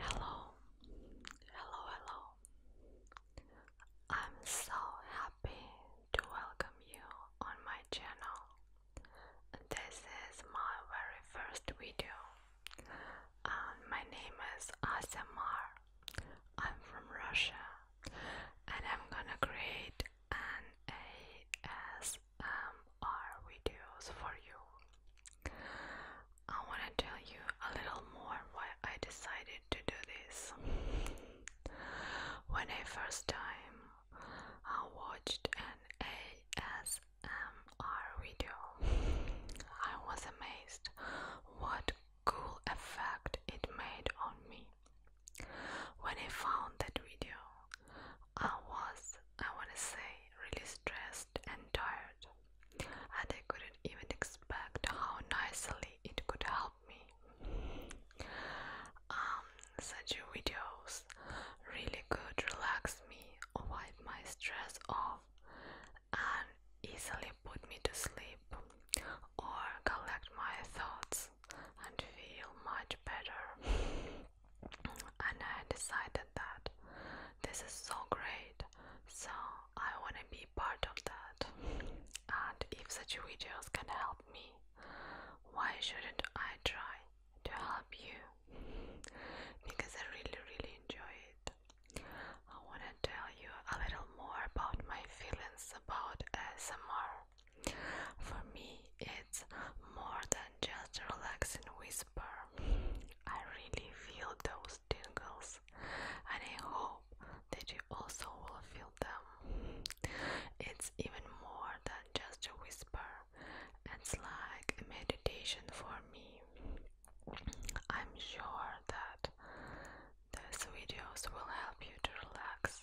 Hello, hello, hello. I'm so happy to welcome you on my channel. This is my very first video, um, my name is ASMR. I'm from Russia, and I'm gonna create and videos for you. I want to tell you a little more why I decided to do this. When I first time I watched an video, I was amazed what cool effect it made on me. When I found that video, I was, I want to say, really stressed and tired, and I couldn't even expect how nicely it could help me. Um, such videos really could relax me, wipe my stress off, and easily put me to sleep or collect my thoughts and feel much better and I decided that this is so great, so I want to be part of that. And if such videos can help me, why shouldn't I try to help you? Because I really, really enjoy it. I want to tell you a little more about my feelings about ASMR. For me, it's more than just relax and whisper. I really feel those tingles, and I hope that you also will feel them. It's even more than just a whisper, it's like a meditation for me. I'm sure that these videos will help you to relax,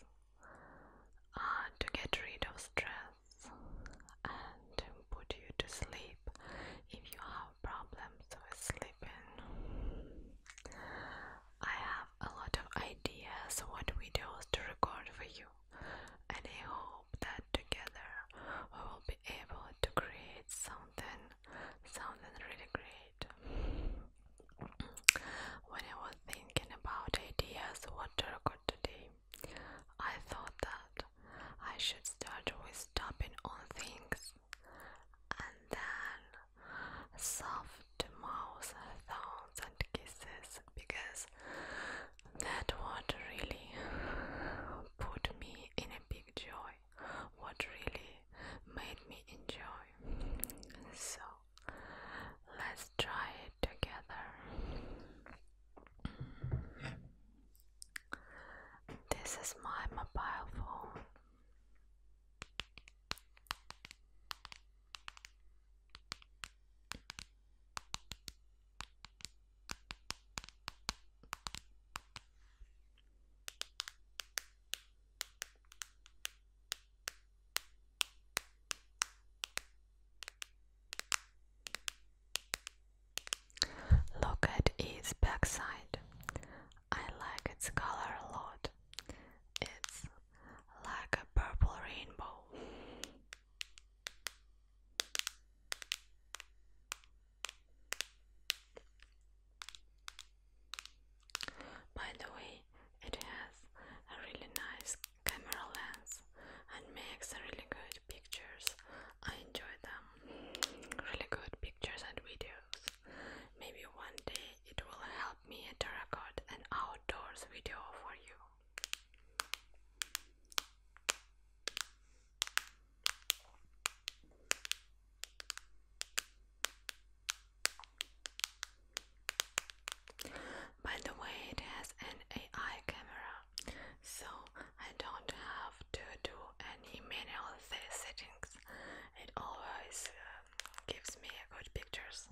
and uh, to get rid of stress, and put you to sleep if you have problems with sleeping. I have a lot of ideas what videos to record for you and I hope that together we will be able to create something something really great. When I was thinking about ideas what to record today I thought that I should start with stopping on things and then soft mouth sounds and kisses because that would really put me in a big joy, what really made me enjoy. So let's try it together. This is my mobile phone. Look at its backside. I like its color a lot. It's like a purple rainbow. By the way, it has a really nice camera lens and makes really good pictures. I enjoy them. Really good pictures and videos. Maybe one day it will help me to record an outdoors video for you. By the way, it has an AI camera, so I don't have to do any manual settings. It always uh, gives me good pictures.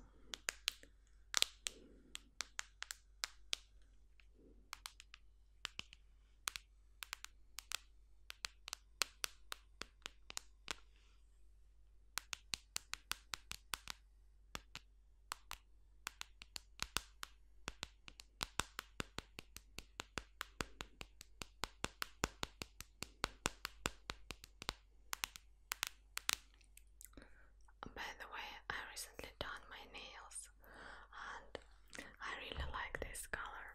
By the way, I recently done my nails and I really like this color.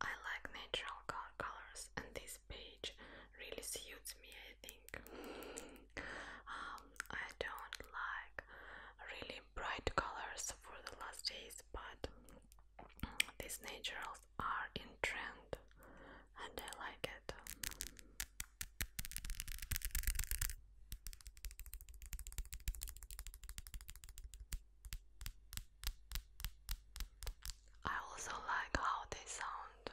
I like natural colors and this page really suits me, I think. Um, I don't like really bright colors for the last days, but these naturals are in trend and I like it. I also like how they sound.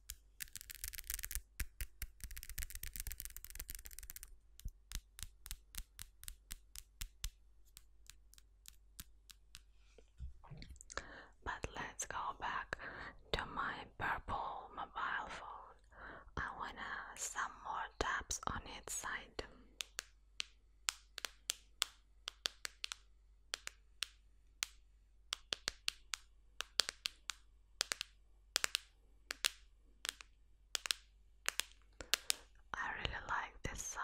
But let's go back to my purple mobile phone. I wanna some more taps on its side. I really like this sound.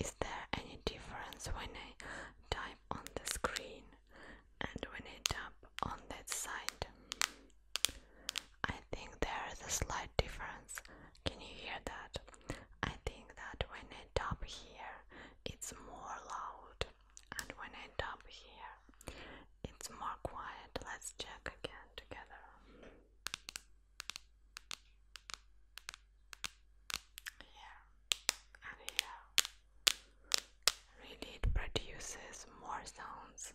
Is there any difference when I type on the screen and when I tap on that side? I think there is a slight difference. Can you hear that? I think that when I tap here, it's more loud, and when I tap here, it's more quiet. Let's check again together. Here and here. Really, it produces more sounds.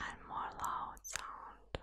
and more loud sound.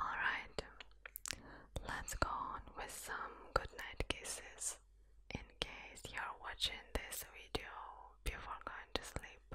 Alright, let's go on with some good kisses in case you're watching this video before going to sleep.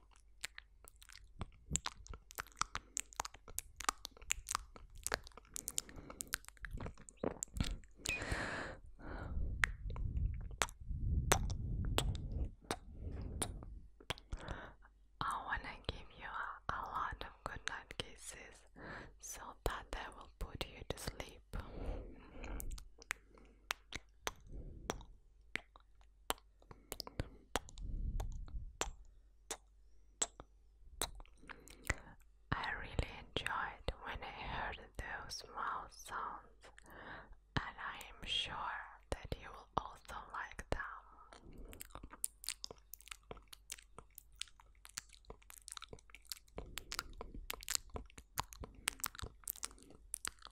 I want to give you a, lot of good kisses so that they will put you to sleep. I really enjoyed when I heard those mouth sounds, and I am sure that you will also like them.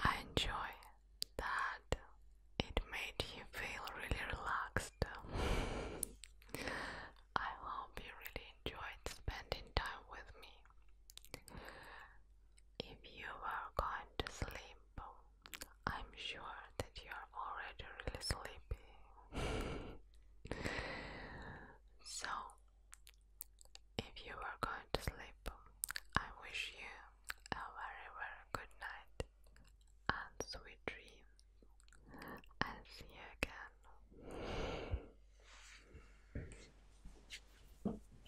I enjoy that it made you feel really relaxed. I hope you really enjoyed spending time with me. If you are going to sleep, I'm sure that you're already really sleepy. so, if you are going to sleep, I wish you a very, very good night and sweet dreams. and see you again.